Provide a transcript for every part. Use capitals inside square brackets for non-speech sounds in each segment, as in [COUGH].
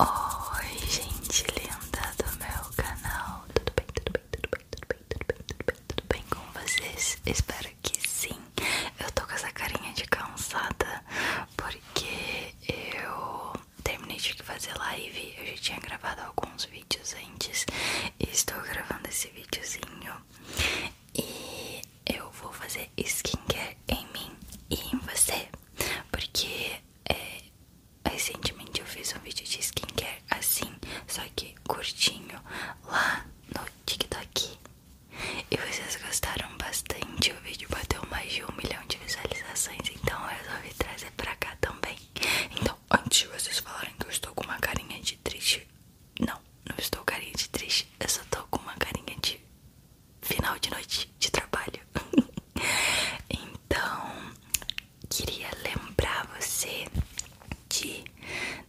Oi, gente linda do meu canal, tudo bem, tudo bem, tudo bem, tudo bem, tudo bem, tudo bem, tudo bem com vocês? Espero que sim. Eu tô com essa carinha de cansada porque eu terminei de fazer live, eu já tinha gravado alguns vídeos antes e estou gravando esse videozinho e eu vou fazer skincare em mim e em você. Porque é, recentemente eu fiz um vídeo de skincare assim, só que curtinho, lá no TikTok. E vocês gostaram bastante, o vídeo bateu mais de um milhão de visualizações, então eu resolvi trazer pra cá também. Então, antes de vocês falarem que eu estou com uma carinha de triste, não, não estou carinha de triste, eu só tô com uma carinha de final de noite de trabalho. [LAUGHS] então, queria lembrar você de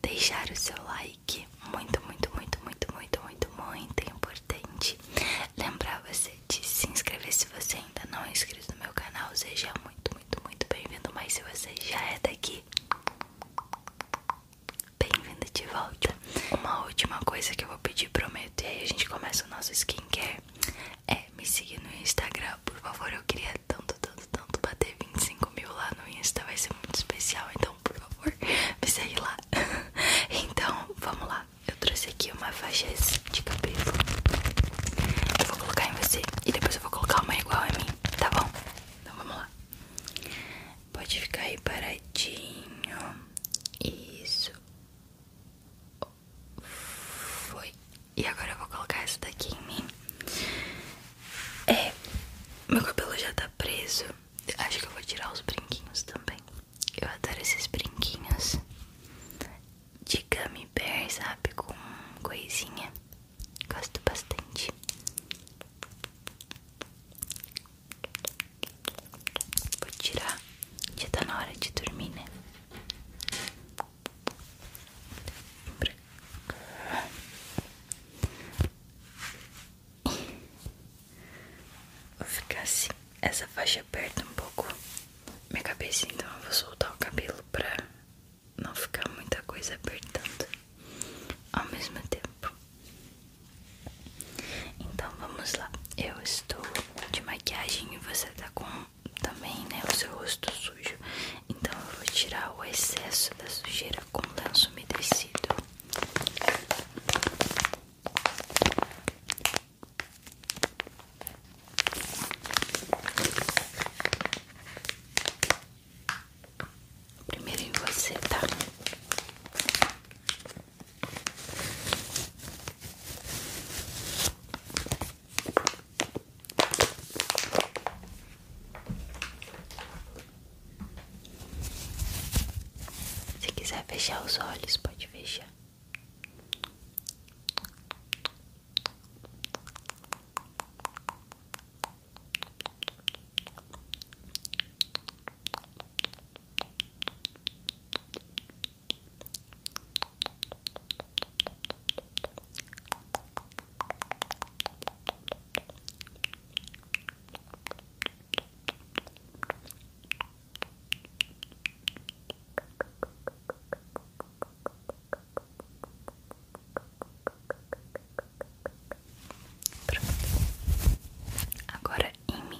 deixar o seu like. Muito, muito, muito, muito, muito, muito, muito importante. Lembrar você de se inscrever se você ainda não é inscrito no meu canal. Seja muito, muito, muito bem-vindo. Mas se você já é daqui, bem-vindo de volta. Uma última coisa que eu vou pedir, prometo e aí a gente começa o nosso skincare. É, me seguir no Instagram, por favor. Eu queria tanto, tanto, tanto bater 25 mil lá no Insta. Vai ser muito especial. Então, por favor, [LAUGHS] me segue lá. [LAUGHS] então, vamos lá. Eu trouxe aqui uma faixa de cabelo. Eu vou colocar em você e depois eu vou colocar uma igual a mim, tá bom? Então vamos lá. Pode ficar aí paradinho. Isso. Foi. E agora eu vou colocar essa daqui em mim. É, meu cabelo já tá preso. Acho que eu vou tirar os brinquinhos também. Eu adoro esses brinquinhos de gummy bear, sabe? Com coisinha. Gosto bastante. Vou tirar. Já tá na hora de dormir, né? Vou ficar assim, essa faixa aperta um pouco minha cabeça, então eu vou soltar o cabelo pra não ficar muita coisa apertando ao mesmo tempo. Então vamos lá. Eu estou de maquiagem e você está com também, né, o seu rosto sujo. Então eu vou tirar o excesso da sujeira com lenço umedecido. Primeiro em você, tá? Se quiser fechar os olhos, pode fechar. Pronto. Agora em mim.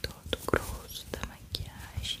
todo grosso da maquiagem.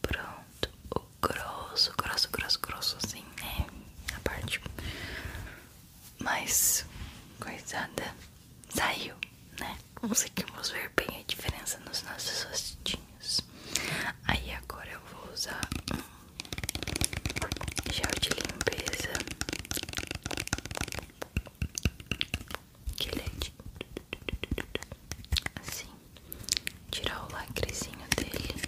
Pronto, o grosso, grosso, grosso, grosso assim, né? A parte mais coisada saiu, né? Conseguimos ver bem a diferença nos nossos rostinhos. Aí agora eu vou usar gel de limpeza que ele é de... assim, tirar o lacrezinho dele.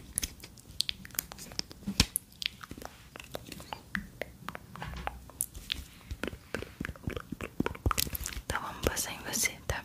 Então vamos passar em você, tá?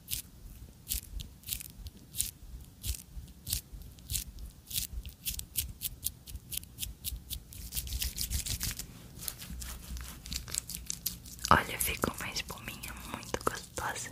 Olha, fica uma espuminha muito gostosa.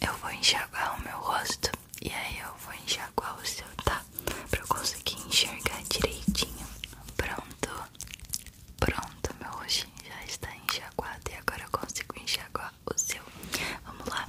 eu vou enxaguar o meu rosto e aí eu vou enxaguar o seu, tá? Pra eu conseguir enxergar direitinho. Pronto. Pronto, meu rostinho já está enxaguado e agora eu consigo enxaguar o seu. Vamos lá.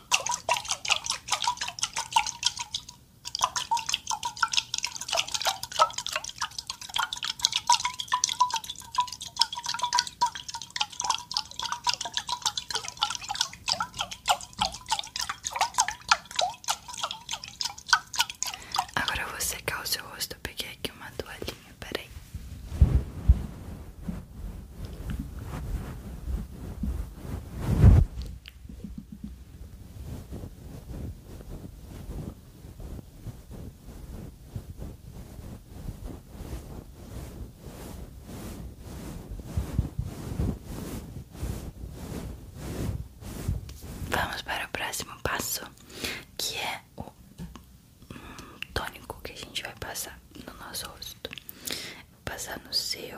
Agora eu vou secar o seu rosto. peguei aqui uma toalhinha, peraí. Vamos para o próximo passo, que é o hum, tônico que a gente vai passar no nosso rosto. passar no seu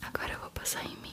Agora vou passar em mim.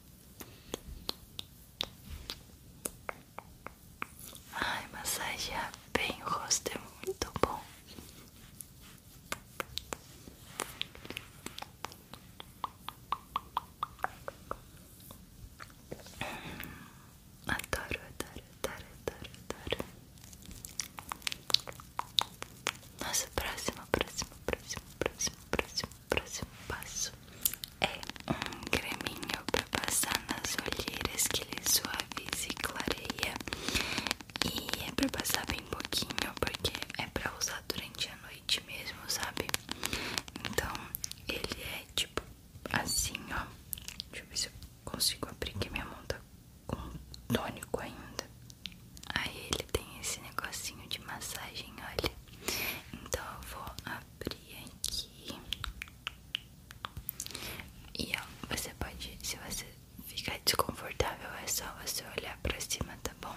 Ai, massagear é bem o rosto é muito bom. Adoro, adoro, adoro, adoro, adoro. Nossa, próximo, próximo, próximo, próximo, próximo próximo passo é um creminho para passar nas olheiras que ele suaviza e clareia. E é para passar bem pouquinho, porque é para usar durante a noite mesmo, sabe? Então ele é tipo assim, ó. Deixa eu ver se eu consigo abrir que minha mão tá com tônico ainda. Aí ele tem esse negocinho de massagem, olha. Então eu vou abrir aqui. E ó, você pode, se você ficar desconfortável, é só você olhar pra cima, tá bom?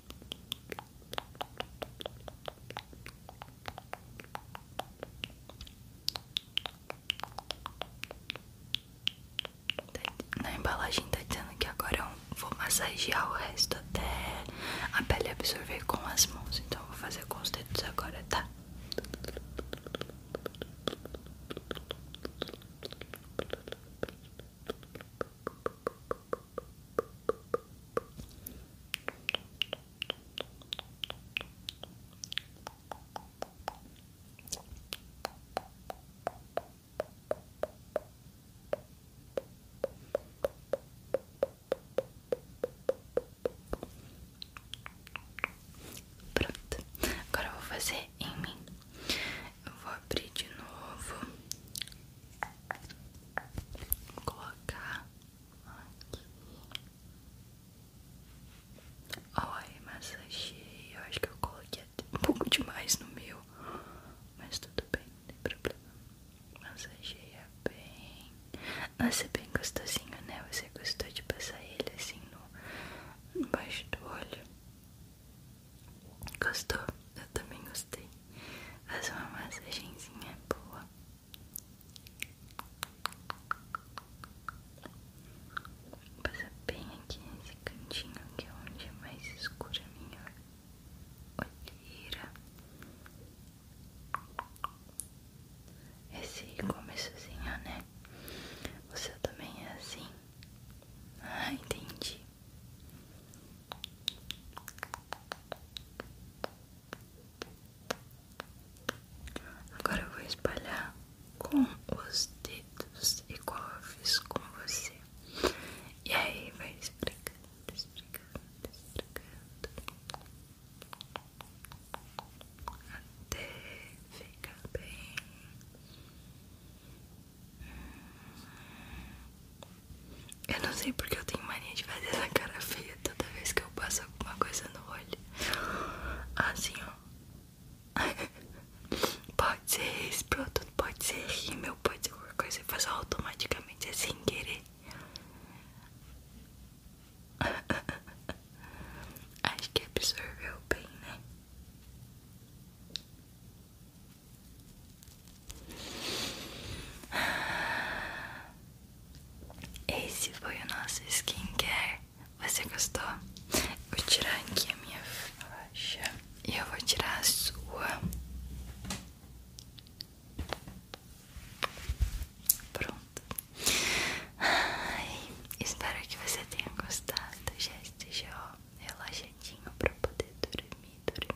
Na embalagem tá dizendo que agora eu vou massagear o resto até a pele absorver com as mãos. Então eu vou fazer com os dedos agora, tá? Pronto, agora vou fazer em mim. Eu vou abrir de novo. colocar aqui. Olha, massageei. acho que eu coloquei até um pouco demais no meu. Mas tudo bem, não tem problema. Massageia bem. Nossa, é bem gostosinho, né? Você gostou de passar ele assim no, embaixo do olho? Gostou? Eu também gostei. Faz uma massagenzinha boa. Passa bem aqui nesse cantinho que é onde é mais escura a minha olheira. Esse começozinho, né? O seu também é assim? Ah, entendi. Agora eu vou espalhar com os dedos, igual eu fiz com você. E aí vai esfregando, esfregando, esfregando. Até ficar bem eu não sei porque eu tenho mania de fazer essa cara feia toda vez que eu passo alguma coisa no olho. Assim, ó. [LAUGHS] Pode ser esse produto, pode ser rímel, pode ser qualquer coisa. Eu faço automaticamente, é sem querer. [LAUGHS] Acho que absorveu bem, né? Esse foi o nosso skincare. Você gostou? Vou tirar aqui a minha faixa e eu vou tirar a sua. Pronto. Ai, espero que você tenha gostado. Já esteja ó, relaxadinho para poder dormir, dormir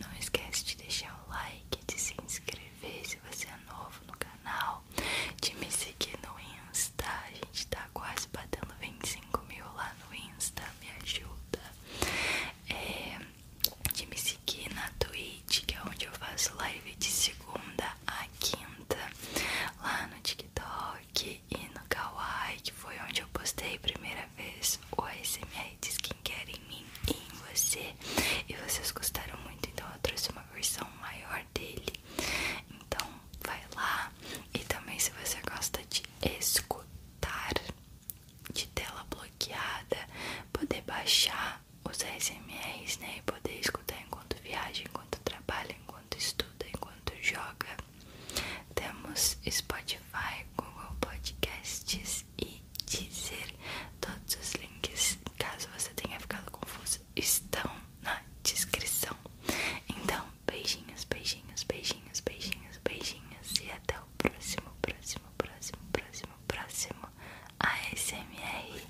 não esquece de deixar o like, de se inscrever se você é novo no canal, de me seguir no Insta. A gente tá quase batendo 25 mil lá no Insta, me ajuda. É, de me seguir na Twitch, que é onde eu faço live de segunda a quinta, lá no TikTok e no Kawaii, que foi onde eu postei primeiro primeira vez o ASMR de skincare em mim e em você E vocês gostaram muito, então eu trouxe uma versão maior dele Então vai lá E também se você gosta de escutar de tela bloqueada Poder baixar os SMS né, e poder escutar enquanto viaja, enquanto trabalha, enquanto estuda, enquanto joga temos Spotify Spotify, Google Podcasts e dizer Todos os links, caso você tenha ficado confuso, estão na descrição. Então, beijinhos, beijinhos, beijinhos, beijinhos, beijinhos e até o próximo, próximo, próximo, próximo, próximo ASMR.